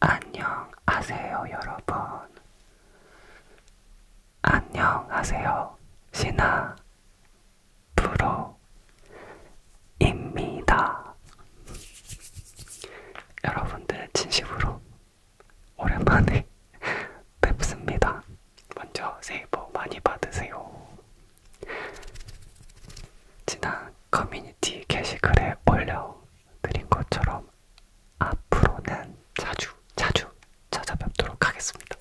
안녕하세요, 여러분. 안녕하세요, 신하 프로입니다. 여러분들 진심으로 오랜만에 뵙습니다. 먼저 새해 복 많이 받으세요. 지난 커뮤니티 게시글에 올려드린 것처럼 앞으로는 자주 자주 찾아뵙도록 하겠습니다.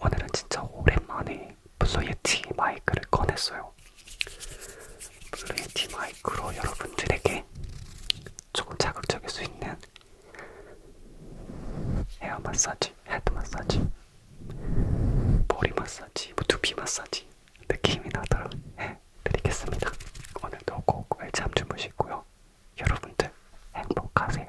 오늘은 진짜 오랜만에 블루예티 마이크를 꺼냈어요. 블루예티 마이크로 여러분들에게 조금 자극적일 수 있는 헤어 마사지, 헤드 마사지 머리 마사지, 뭐 두피 마사지 느낌이 나도록 해드리겠습니다. 오늘도 꼭잠 주무시고요. 여러분들 행복하세요.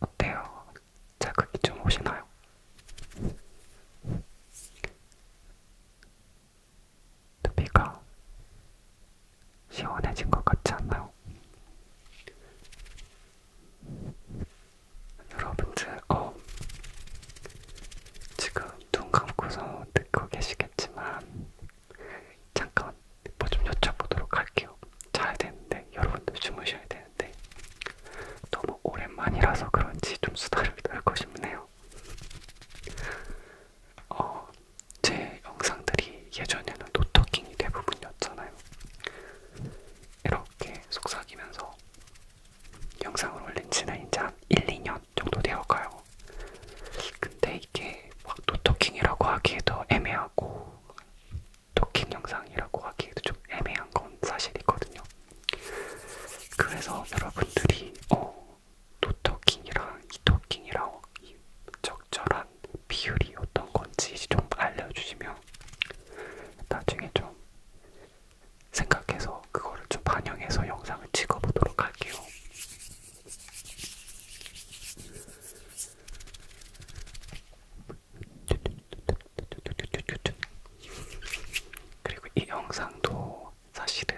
어때요? 자극이 좀 오시나요? 두피가 시원해진 것 같지 않나요? 여러분들 어 지금 눈 감고서 듣고 계시겠지만 잠깐 뭐 좀 여쭤보도록 할게요. 자야 되는데 여러분들 주무셔야 되는데 너무 오랜만이라서 그런지 좀 수다를 떨고 싶네요. 어, 제 영상들이 예전에는 노토킹이 대부분이었잖아요. 이렇게 속삭이면서 영상을 올린 지는 이제 한 1, 2년 정도 되어가요. 근데 이게 막 노토킹이라고 하기에도 애매하고 토킹 영상이라고 하기에도 좀 애매한 건 사실이거든요. 그래서 여러분들이 어, 노토킹이랑 이토킹이랑 적절한 약간 비율이 어떤 건지 좀 알려주시면 나중에 좀 생각해서 그거를 좀 반영해서 영상을 찍어보도록 할게요. 그리고 이 영상도 사실은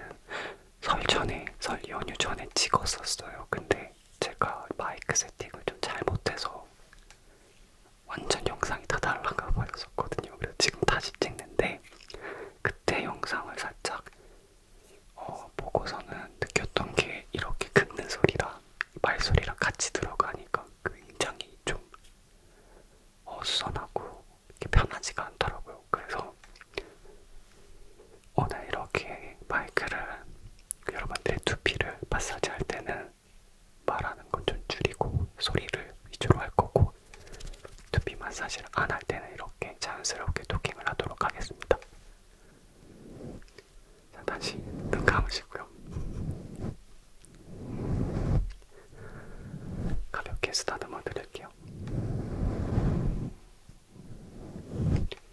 설 전에, 설 연휴 전에 찍었었어요. 근데 제가 마이크 세팅을 좀 잘못해서 완전 영상이 다 날라가 버렸었거든요. 그래서 지금 다시 찍는데 그때 영상을 살짝 어, 보고서는 느꼈던 게 이렇게 긁는 소리랑 말소리랑 같이 들어가니까 굉장히 좀 어수선하고 이렇게 편하지가 않더라고요. 그래서 오늘 이렇게 마이크를 그 여러분들의 두피를 마사지 할 때는 말하는 건 좀 줄이고 소리를 위주로 할 거고 두피 마사지를 안 할 때는 이렇게 자연스럽게 토킹을 하도록 하겠습니다. 자, 다시 눈 감으시고요. 가볍게 쓰다듬어 드릴게요.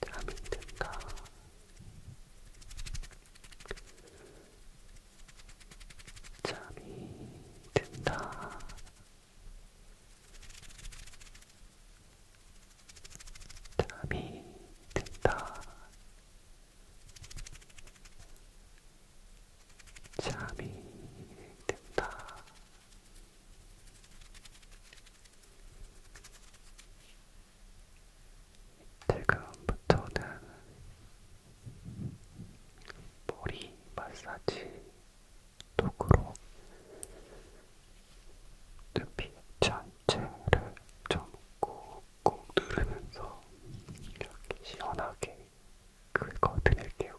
대한민국인가 잠이 든다 잠이 든다 잠이 든다 잠이 든다 지금부터는 머리 마사지 도구로 두피 전체를 좀 꾹꾹 누르면서 이렇게 시원하게 긁어 드릴게요.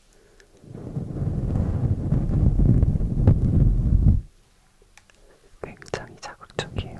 굉장히 자극적이에요.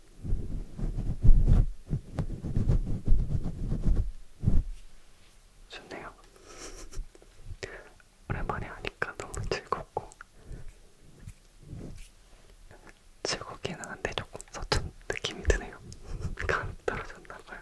좋네요. 오랜만에 하니까 너무 즐겁고 즐겁기는 한데 조금 서툰 느낌이 드네요. 간 떨어졌나봐요.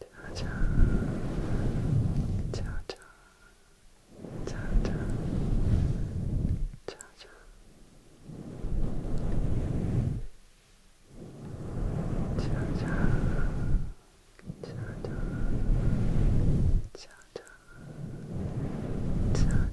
짜잔, 짜잔, 짜잔, 짜잔. 짜잔, 짜잔, 짜잔, 짜잔,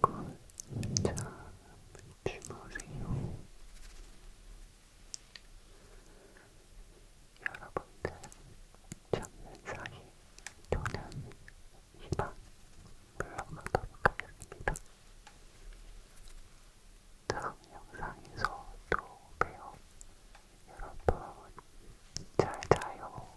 골잠 주무세요. 여러분들 잠는 사이 저는 이방 물러가도록 하겠습니다. 다음 영상에서 또 봬요. 여러분 잘 자요.